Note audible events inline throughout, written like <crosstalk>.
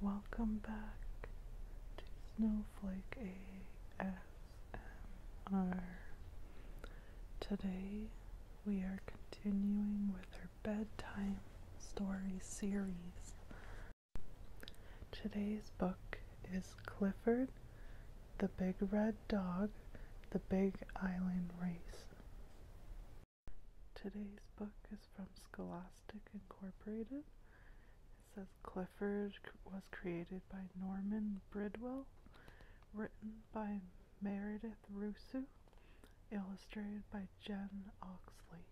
Welcome back to Snowflake ASMR. Today we are continuing with our bedtime story series. Today's book is Clifford the Big Red Dog, The Big Island Race. Today's book is from Scholastic Incorporated. It says Clifford was created by Norman Bridwell, written by Meredith Rusu, illustrated by Jen Oxley.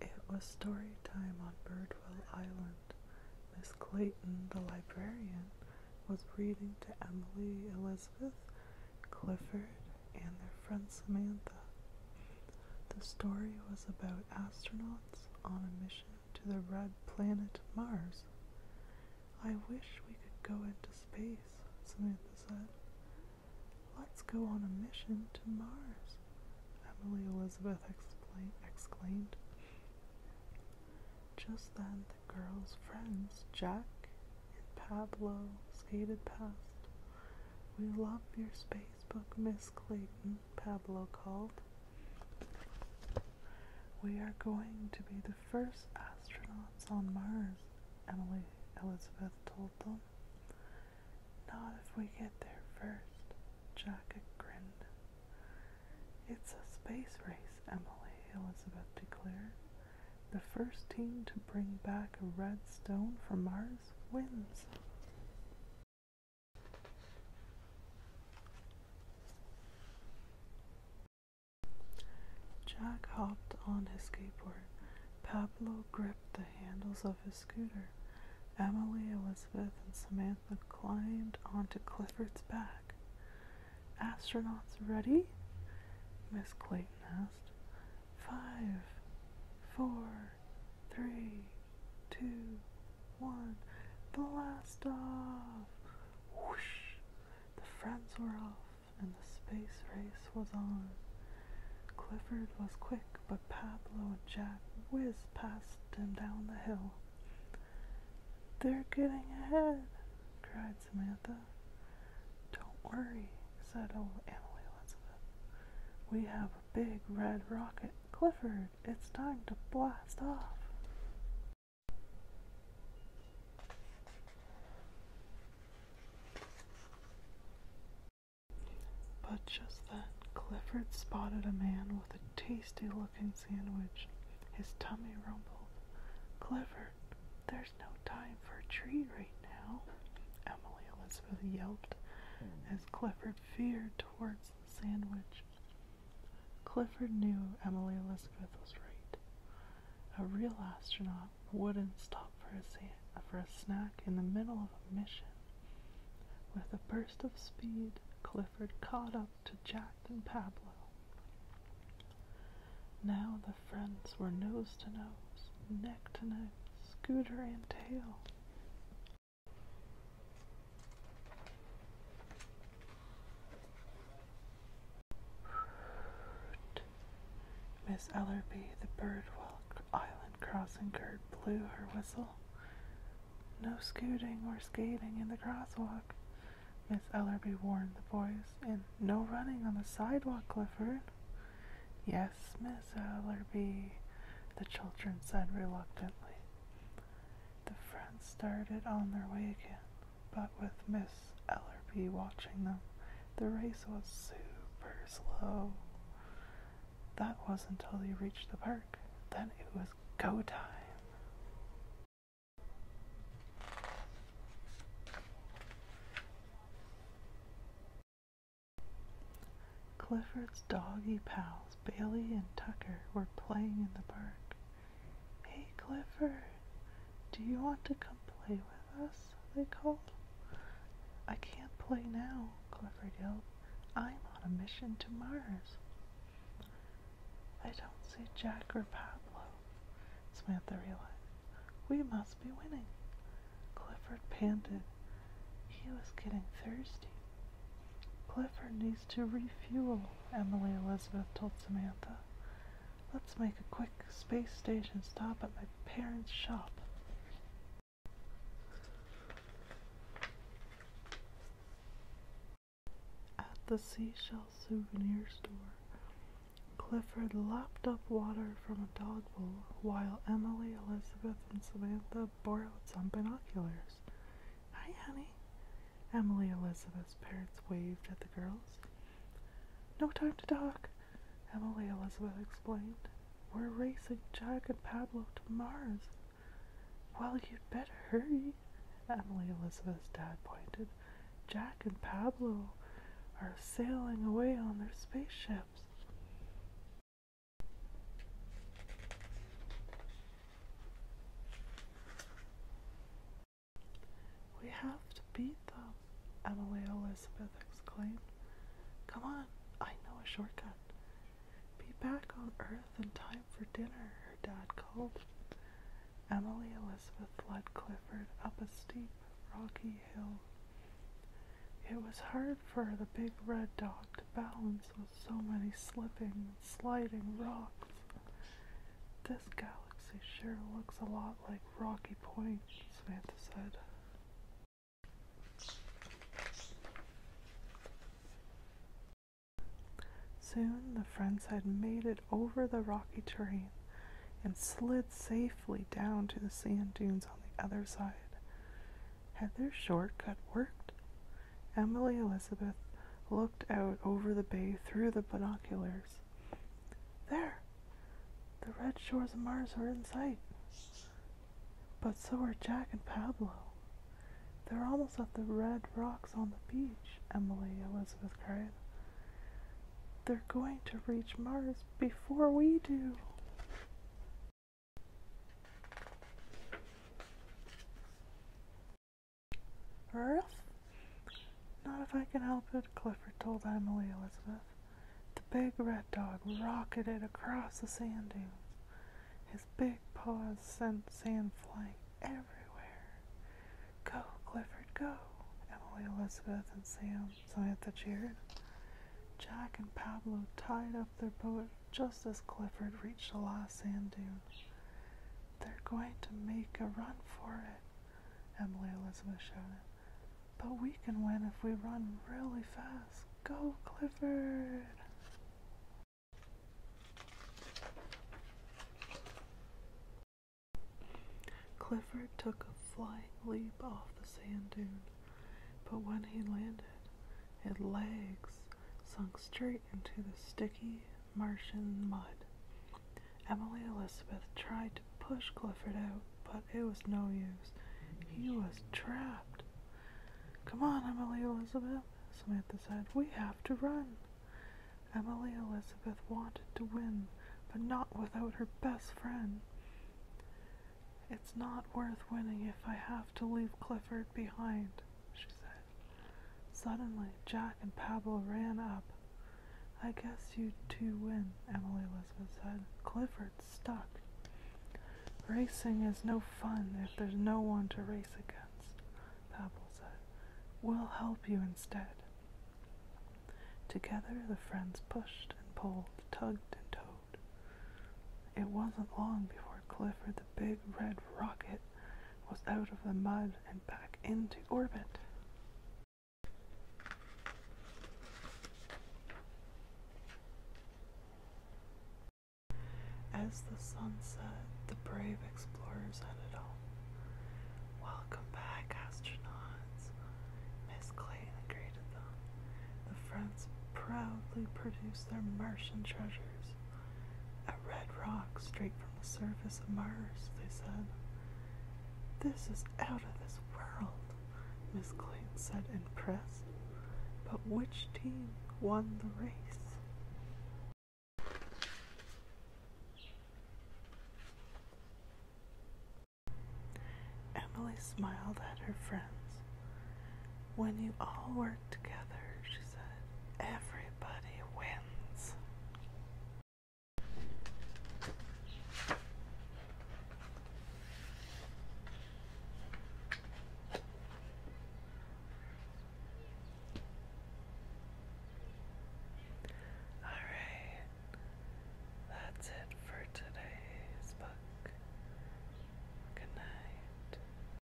It was story time on Birdwell Island. Miss Clayton, the librarian, was reading to Emily, Elizabeth, Clifford, and their friend Samantha. The story was about astronauts on a mission to the red planet Mars. I wish we could go into space, Samantha said. Let's go on a mission to Mars, Emily Elizabeth exclaimed. Just then, the girls' friends, Jack and Pablo, skated past. We love your space book, Miss Clayton, Pablo called. We are going to be the first astronauts on Mars, Emily Elizabeth told them. Not if we get there first, Jack grinned. It's a space race, Emily, Elizabeth declared. The first team to bring back a red stone from Mars wins. Jack hopped on his skateboard. Pablo gripped the handles of of his scooter. Emily, Elizabeth, and Samantha climbed onto Clifford's back. Astronauts ready? Miss Clayton asked. Five, four, three, two, one. Blast off! Whoosh! The friends were off, and the space race was on. Clifford was quick, but Pablo and Jack whizzed past him down the hill. They're getting ahead, cried Samantha. Don't worry, said old Emily Elizabeth. We have a big red rocket. Clifford, it's time to blast off. But just then, Clifford spotted a man with a tasty looking sandwich. His tummy rumbled. Clifford, there's no time for a treat right now, Emily Elizabeth yelped as Clifford veered towards the sandwich. Clifford knew Emily Elizabeth was right. A real astronaut wouldn't stop for a sandwich for a snack in the middle of a mission. With a burst of speed, Clifford caught up to Jack and Pablo. Now the friends were nose to nose, neck to neck, scooter and tail. <sighs> Miss Ellerby, the bird while island crossing guard blew her whistle. No scooting or skating in the crosswalk, Miss Ellerby warned the boys, and no running on the sidewalk, Clifford. Yes, Miss Ellerby, the children said reluctantly. The friends started on their way again, but with Miss Chris Ellerby watching them. The race was super slow. That was until they reached the park. Then it was go time. Clifford's doggy pals, Bailey and Tucker, were playing in the park. Hey, Clifford, do you want to come? play with us, they called. I can't play now, Clifford yelled. I'm on a mission to Mars. I don't see Jack or Pablo, Samantha realized. We must be winning. Clifford panted. He was getting thirsty. Clifford needs to refuel, Emily Elizabeth told Samantha. Let's make a quick space station stop at my parents' shop. At the seashell souvenir store, Clifford lapped up water from a dog bowl while Emily, Elizabeth, and Samantha borrowed some binoculars. Hi, honey. Emily Elizabeth's parents waved at the girls. No time to talk, Emily Elizabeth explained. We're racing Jack and Pablo to Mars. Well, you'd better hurry, Emily Elizabeth's dad pointed. Jack and Pablo are sailing away on their spaceships. We have to beat them, Emily Elizabeth exclaimed. Come on, I know a shortcut. Be back on Earth in time for dinner, her dad called. Emily Elizabeth led Clifford up a steep, rocky hill. It was hard for the big red dog to balance with so many slipping, sliding rocks. This gal galaxy sure looks a lot like Rocky Point, Samantha said. Soon the friends had made it over the rocky terrain and slid safely down to the sand dunes on the other side. Had their shortcut worked? Emily Elizabeth looked out over the bay through the binoculars. There! The red shores of Mars are in sight. But so are Jack and Pablo. They're almost at the red rocks on the beach, Emily Elizabeth cried. They're going to reach Mars before we do. Earth? Not if I can help it, Clifford told Emily Elizabeth. The big red dog rocketed across the sand dunes, his big paws sent sand flying everywhere. Go, Clifford, go, Emily Elizabeth and Sam Samantha cheered. Jack and Pablo tied up their boat just as Clifford reached the last sand dune. They're going to make a run for it, Emily Elizabeth shouted. But we can win if we run really fast. Go, Clifford! Clifford took a flying leap off the sand dune, but when he landed, his legs sunk straight into the sticky Martian mud. Emily Elizabeth tried to push Clifford out, but it was no use. He was trapped. Come on, Emily Elizabeth, Samantha said. We have to run. Emily Elizabeth wanted to win, but not without her best friend. It's not worth winning if I have to leave Clifford behind she said. Suddenly, Jack and Pablo ran up. I guess you two win, Emily Elizabeth said. Clifford stuck. Racing is no fun if there's no one to race against, Pablo said. We'll help you instead. Together, the friends pushed and pulled, tugged and towed. It wasn't long before Clifford the big red rocket was out of the mud and back into orbit. As the sun set, the brave explorers headed home. Welcome back, astronauts, Miss Clayton greeted them. The friends proudly produced their Martian treasures. A red rock straight from the surface of Mars, they said. This is out of this world, Miss Clayton said, impressed. But which team won the race? Emily smiled at her friends. When you all were together, she said. Everybody wins. All right, that's it for today's book. Good night.